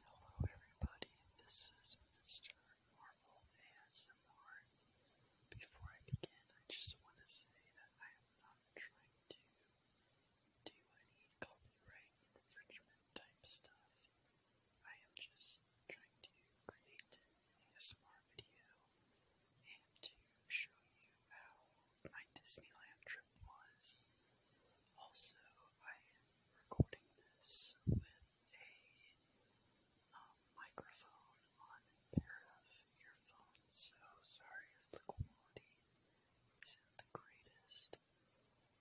Hello everybody, this is Mr. Marvel ASMR. Before I begin, I just want to say that I am not trying to do any copyright infringement type stuff. I am just trying to create an ASMR video and to show you how my Disneyland trip was. Also, I am recording this with a um, microphone on a pair of earphones, so sorry if the quality isn't the greatest.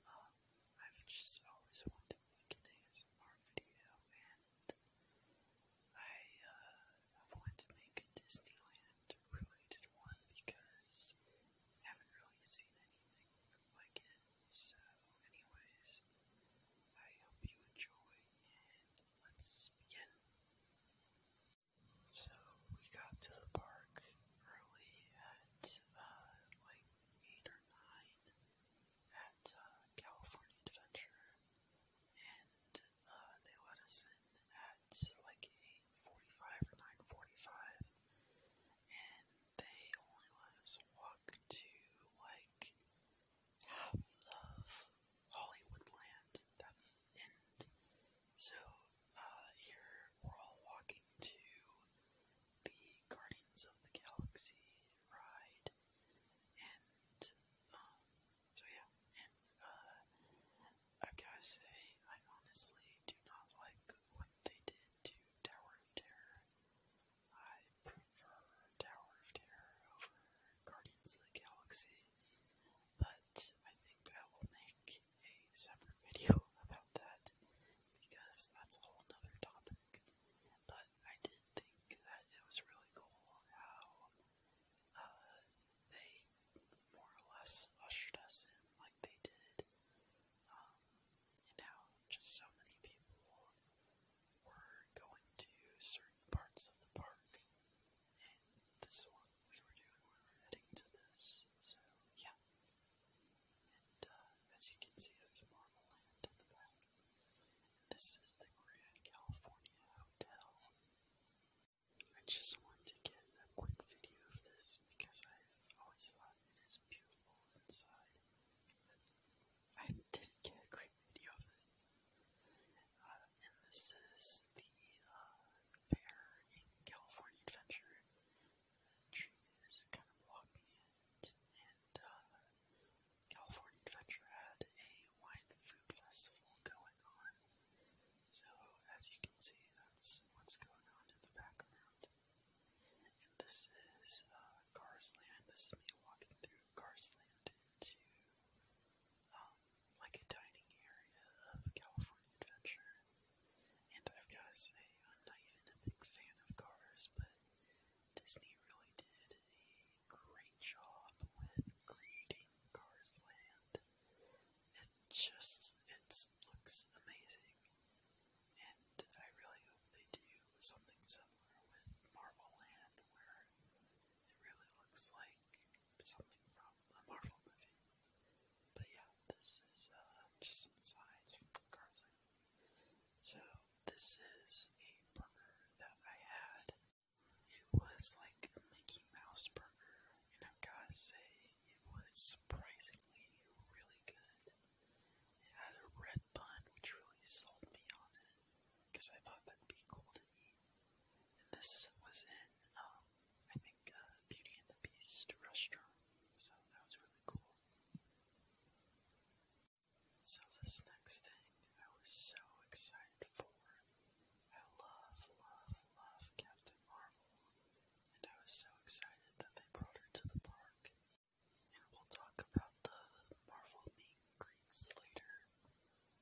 Um, I've just always wanted to make an ASMR video, and I uh, wanted to make a Disneyland related one because haven't really seen anything like it. So, anyways, I hope you enjoy, and let's begin. So, we got to the park early at uh, like 8 or 9 at uh, California Adventure, and uh, they let us in at like 8.45 or 9.45, and they only let us walk to like half of Hollywood land. That's the end. So uh here we're all walking to the Guardians of the Galaxy ride. And um so yeah, and uh I gotta say I honestly do not like what they did to Tower of Terror. I prefer Tower of Terror over Guardians of the Galaxy, but I think I will make a separate video about that because that's a whole other topic. But I did think that it was really cool how uh, they more or less ushered us in like they did um, and just so many people were going to certain parts of the park, and this is we were doing. We were heading to this, so yeah. And uh, as you can see, there's Marvel Land this is the Grand California Hotel. I just wanted to get a quick video of this because I've always thought it is beautiful inside. I didn't get a great video of it. Uh, and this is the uh, bear in California Adventure. The tree is kind of blocking it, and uh, California Adventure had a wine food festival going on. So, as you can see, that's what's going on in the background. And this is uh, Carsland. This is me walking through Carsland into um, like a dining area of California Adventure. And I've got to say, I'm not even a big fan of cars, but Disney really did a great job with creating Cars Land. It just, it's just looks amazing. And I really hope they do something similar with Marvel Land, where it really looks like something from a Marvel movie. But yeah, this is uh, just some sides from Carson. So this is a burger that I had. It was like a Mickey Mouse burger, and I've got to say, it was surprisingly really good. It had a red bun, which really sold me on it, because I thought that'd be cool to eat. And this was in, um, I think, uh, Beauty and the Beast restaurant, so that was really cool. So this next thing I was so excited for. I love, love, love Captain Marvel, and I was so excited that they brought her to the park and we'll talk about the Marvel meet and greets later.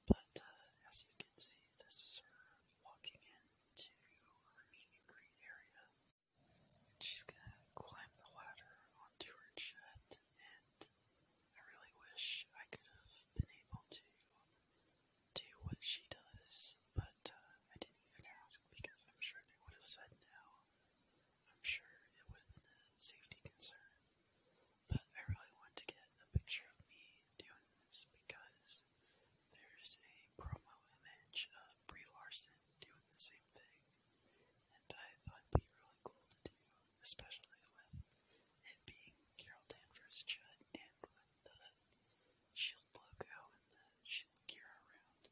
But uh, as you can see, this is her walking into her meet and greet area. And she's gonna climb the ladder onto her jet, and I really wish I could have been able to do what she does, but uh, I didn't even ask because I'm sure they would have said no. I'm sure it wasn't a uh, safety concern, but I really want to get a picture of me doing this because there's a promo image of Brie Larson doing the same thing, and I thought it'd be really cool to do, especially with it being Carol Danvers Judd and with the shield logo and the shield gear around.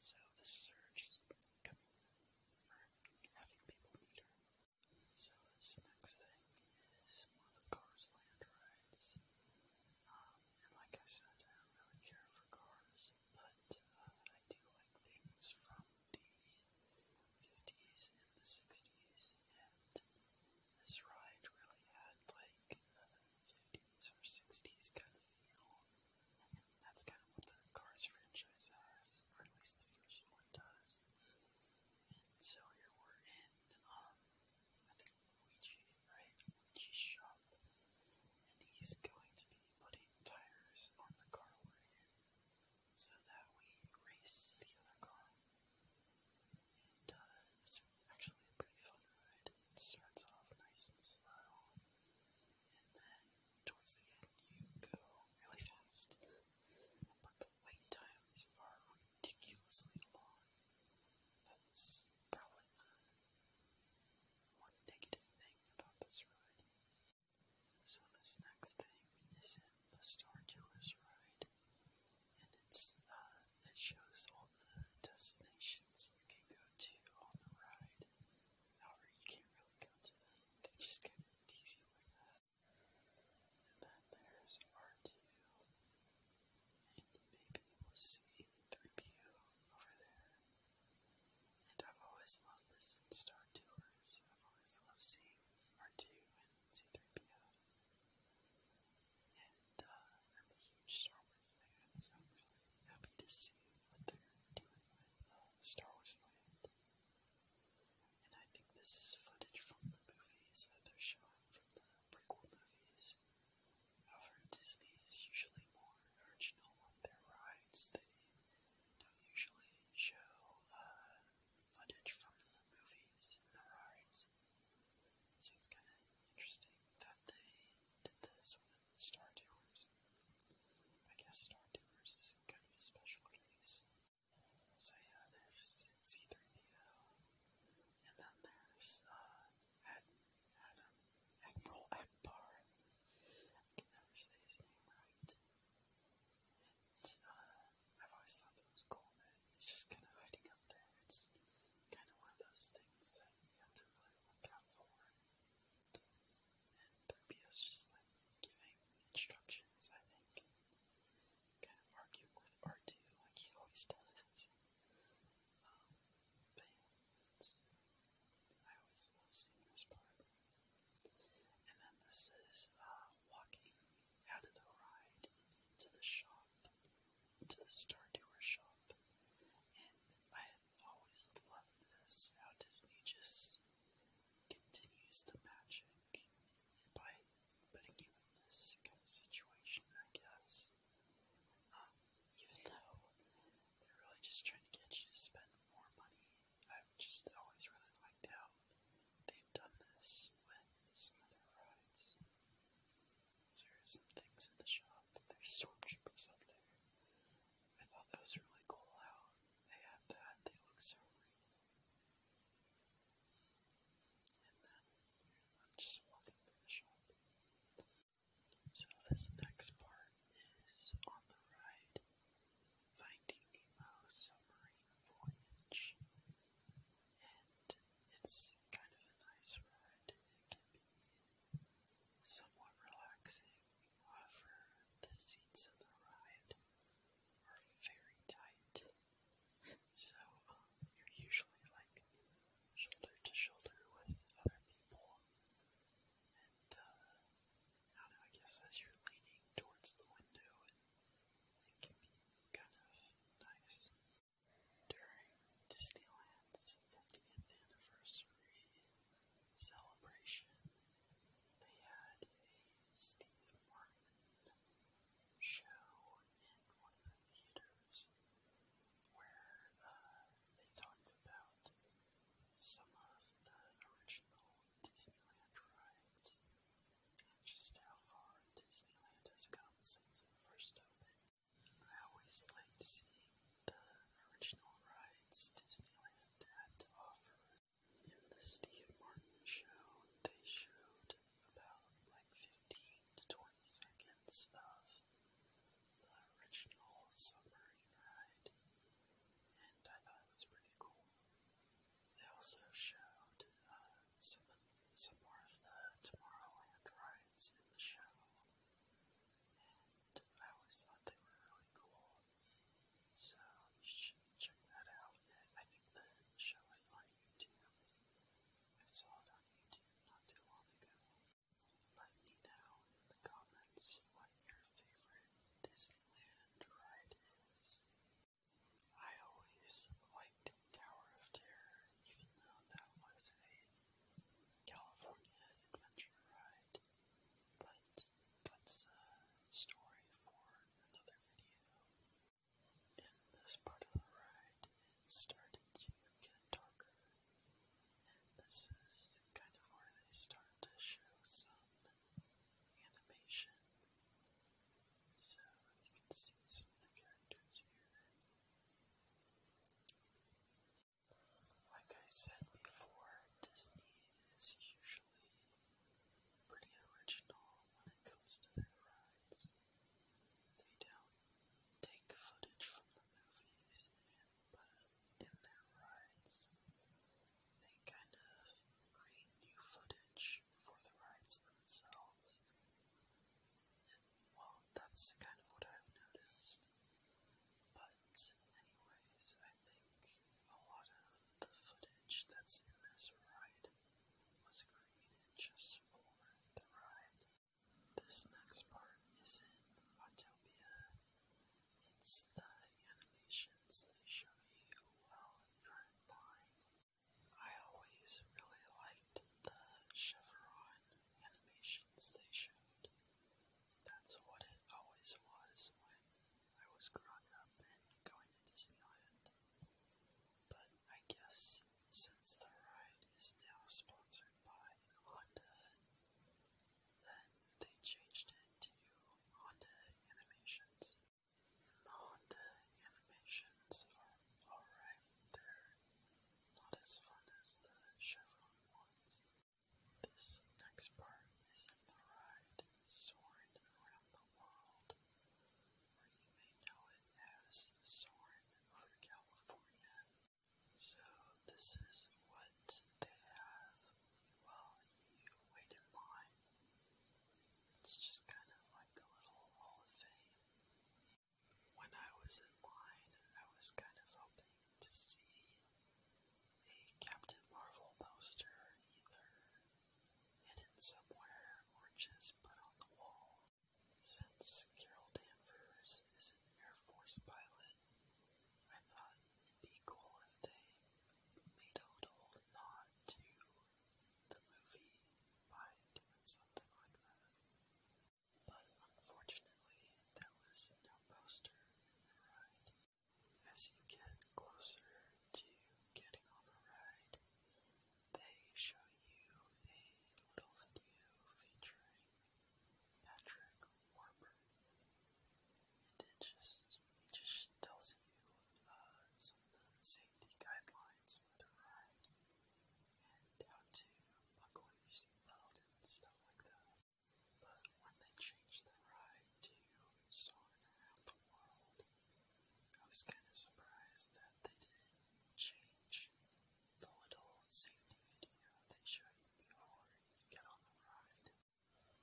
So this is her just coming for having people meet her. So this next thing is one of the Cars Land rides. Um, and like I said, I don't really care for cars, but uh, I do like things from the 50s and the 60s, and this ride really had like uh, 50s 50s or 60s kind of feel. And that's kind of what the Cars franchise has, or at least the first one does. And so here we're in, um, I think Luigi, right? Luigi's shop. And he's going to be putting tires on the car wagon so that we race the other car. And uh, it's actually a pretty fun ride. It starts off nice and slow, then towards the end you go really fast. But the wait times are ridiculously long. That's probably one negative thing about this ride. So this next thing is in the Star Tours ride, and it's uh, it shows all the destinations you can go to on the ride, However, you can't really go to them. They just kind of tease you like that. And then there's R2. And maybe we'll see 3PO over there. And I've always loved this in Star Tours. I've always loved seeing R2 and C3PO. And uh, I'm a huge Star Wars fan, so I'm really happy to see what they're doing with uh, Star Wars Land. And I think this is footage from the movies that they're showing from the prequel movies. I've heard Disney is usually more original on their rides. They don't usually show uh, footage from the movies and the rides. So it's kind of interesting that they did this with Star Tours. I guess Star Tours is kind of a special case. So yeah, there's C3PO, and then there's uh, Ad Adam Admiral Akbar. I can never say his name right. And uh, I've always thought that was cool that it's just kind of hiding up there. It's kind of one of those things that you have to really look out for. And Poppy just giving instructions, I think. Kind of with R2 like he always does. Um, but I always love seeing this part. And then this is uh, walking out of the ride to the shop, to the store, to Tour shop. And I I've always loved this, how Disney just continues the magic by putting you in this kind of situation, I guess. Um, even though they're really just trying to get you to spend more money, I've just always really liked how they've done this with some of their rides. So here's some things in the shop that there's stormtroopers up there. I thought that was really cool how they had that. They look so real. And then just walking the shop. So this next part is on the ride, Finding Nemo's submarine voyage, and it's kind of a nice ride somewhat relaxing, however, the seats in the ride are very tight. So, um, you're usually like shoulder to shoulder with other people. And, uh, I don't know, I guess as you're leaning towards the window, it can be kind of nice. During Disneyland's 50th anniversary, celebration, they had a Steve Martin show in one of the theaters where uh, they talked about some of the original Disneyland rides and just how far Disneyland has come since it first opened. I always liked seeing the original rides Disneyland had to offer. In the Steve Martin show, they showed about like 15 to 20 seconds of the original submarine ride, and I thought it was pretty cool. They also showed uh, some, some more of the Tomorrowland rides in the show and I always thought they were really cool. So you should check that out. I think the show is on YouTube. I saw it on YouTube not too long ago. Let me know in the comments what your favorite Disneyland ride is. I always liked Tower of Terror, even though that was a California adventure ride. But that's uh, a story for another video. In this part of the ride, it started to get darker. And this is kind of where they start to show some animation. So you can see some of the characters here. Like I said before, Disney is usually pretty original when it comes to their rides. They don't take footage from the movies and put it in their rides. They kind of create new footage for the rides themselves. And, well, that's kind of what I've noticed. But anyways, I think a lot of the footage that's in this ride was created just for the ride. This next part is in Autopia. It's the animations they show you while you're flying. I always really liked the Chevron animations they showed. That's what it always was when I was growing up and going to Disneyland. But I guess since the ride is now sponsored by Honda, then they changed it to Honda Animations. The Honda Animations are alright, they're not as fun as the Chevron ones, this next part is in the ride Soarin' Around the World, or you may know it as Soarin' Over California. So this is what they have while you wait in line. It's just kind of like a little Hall of Fame. When I was in line, I was kind of hoping to see a Captain Marvel poster either hidden somewhere or just put on the wall. Since Carol Danvers is an Air Force pilot, I thought it'd be cool if they made a little nod to the movie by doing something like that. But unfortunately, there was no poster in the ride. As you get closer to getting on the ride, they show you a little video featuring Patrick Warburton, and it just it just tells you uh, some of the safety guidelines for the ride and how to buckle your seatbelt and stuff like that. But when they changed the ride to Soarin' Around the World, I was kind of surprised that they didn't change the little safety video they show you before you get on the ride.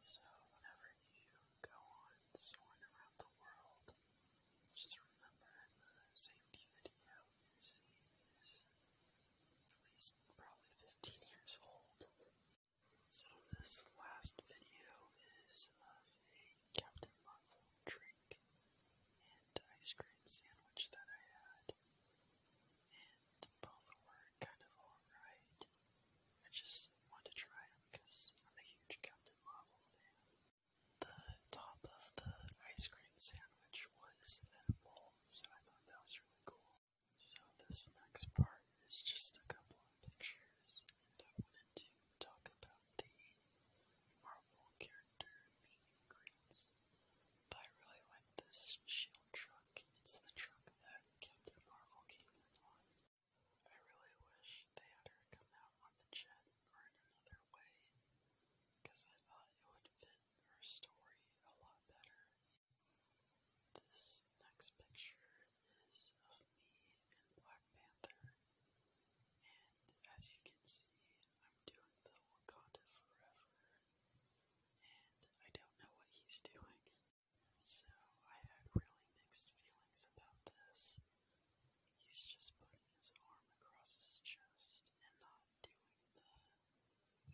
So whenever you go on Soarin' Around the World, just remember in the safety video you're seeing is at least probably 15 years old. So this last video is of a Captain Marvel drink and ice cream sandwich that I had. And both were kind of alright. I just wanted to try them because I'm a huge Captain Marvel fan. The top of the ice cream sandwich was edible, so I thought that was really cool. So this next part is just a couple of pictures, and I wanted to talk about the Marvel character meet and greets. But I really like this shield truck. It's the truck that Captain Marvel came in on. I really wish they had her come out on the jet or in another way, because I thought it would fit her story a lot better. This next picture is of me and Black Panther, and as you can see, I'm doing the Wakanda Forever, and I don't know what he's doing. So I had really mixed feelings about this. He's just putting his arm across his chest and not doing the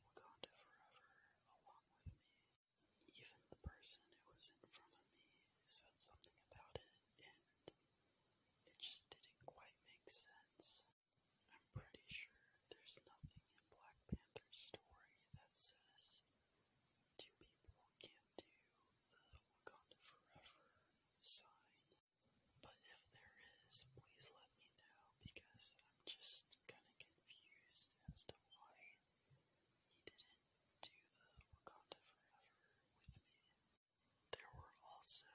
Wakanda Forever along with me. Even the person who was in front of me said something about it, and it just didn't quite make sense. I'm pretty sure there's nothing in Black Panther's story that says two people can't do the Wakanda Forever sign. But if there is, please let me know because I'm just kind of confused as to why he didn't do the Wakanda Forever with me. There were also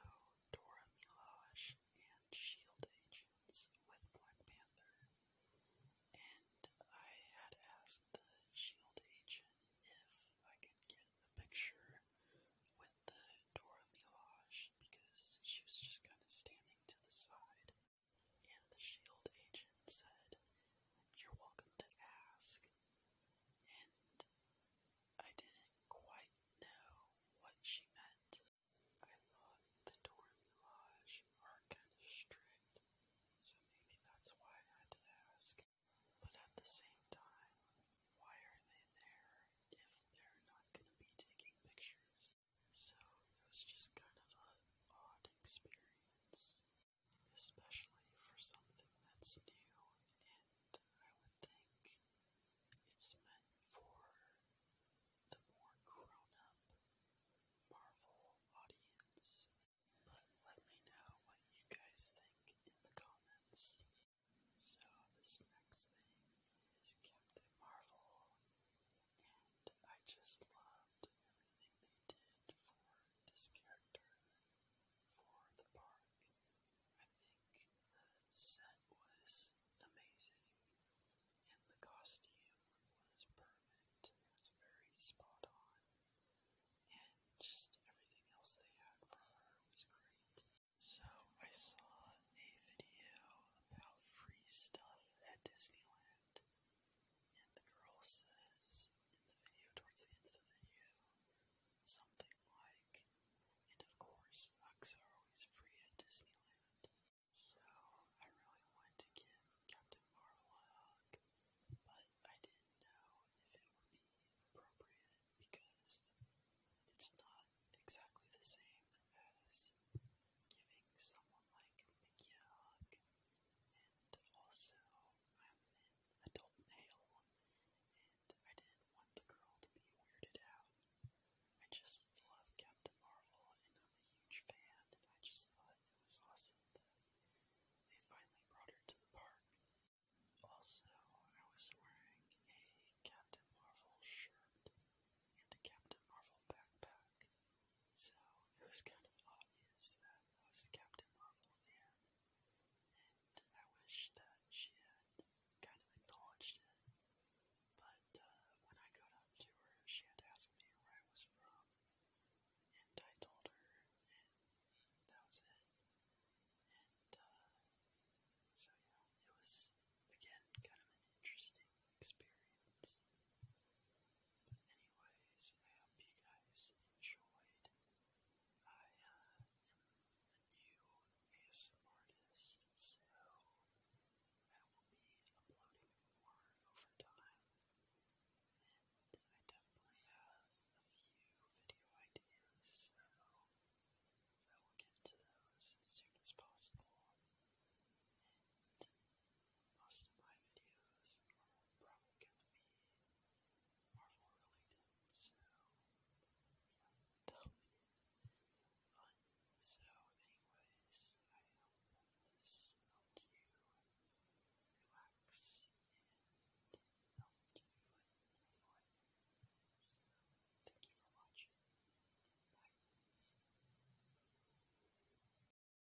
Dora Milaje and S.H.I.E.L.D. agents with Black Panther, and I had asked the S.H.I.E.L.D. agent if I could get a picture with the Dora Milaje because she was just kind of standing to the side. And the shield agent said, You're welcome to ask. And I didn't quite know what she meant. I thought the Dormy Lodge are kind of strict, so maybe that's why I had to ask. But at the same time, why are they there if they're not going to be taking pictures? So it was just kind of an odd experience, especially for something that's new, and I would think it's meant for the more grown up Marvel audience. But let me know what you guys think in the comments. So, this next thing is Captain Marvel and I just loved everything they did for this character, for the park. I think the set was amazing, and the costume was perfect. It was very spot on, and just everything else they had for her was great. So I saw a video about free stuff at Disneyland. And the girl says in the video, towards the end of the video, something like, and of course, hugs are always free at Disneyland. So I really wanted to give Captain Marvel a hug, but I didn't know if it would be appropriate because it's not exactly the same as giving someone like Mickey a hug also I'm an adult and I didn't want the girl to be weirded out. I just love Captain Marvel, and I'm a huge fan, I just thought it was awesome that they finally brought her to the park. Also, I was wearing a Captain Marvel shirt and a Captain Marvel backpack, so it was kind of obvious that I was the Captain Marvel fan, and I wish that she had kind of acknowledged it. But uh, when I got up to her, she had asked me where I was from, and I told her, and that was it. And uh, so yeah, it was again kind of an interesting experience. Anyways, I hope you guys enjoyed. I am a new ASM artist, so I will be uploading more over time. And I definitely have a few video ideas, so I will get to those as soon as possible. Most of my videos are probably gonna be Marvel related, so yeah, that'll be fun. So anyways, I hope this helped you relax and helped you anyway. So thank you for watching. Bye.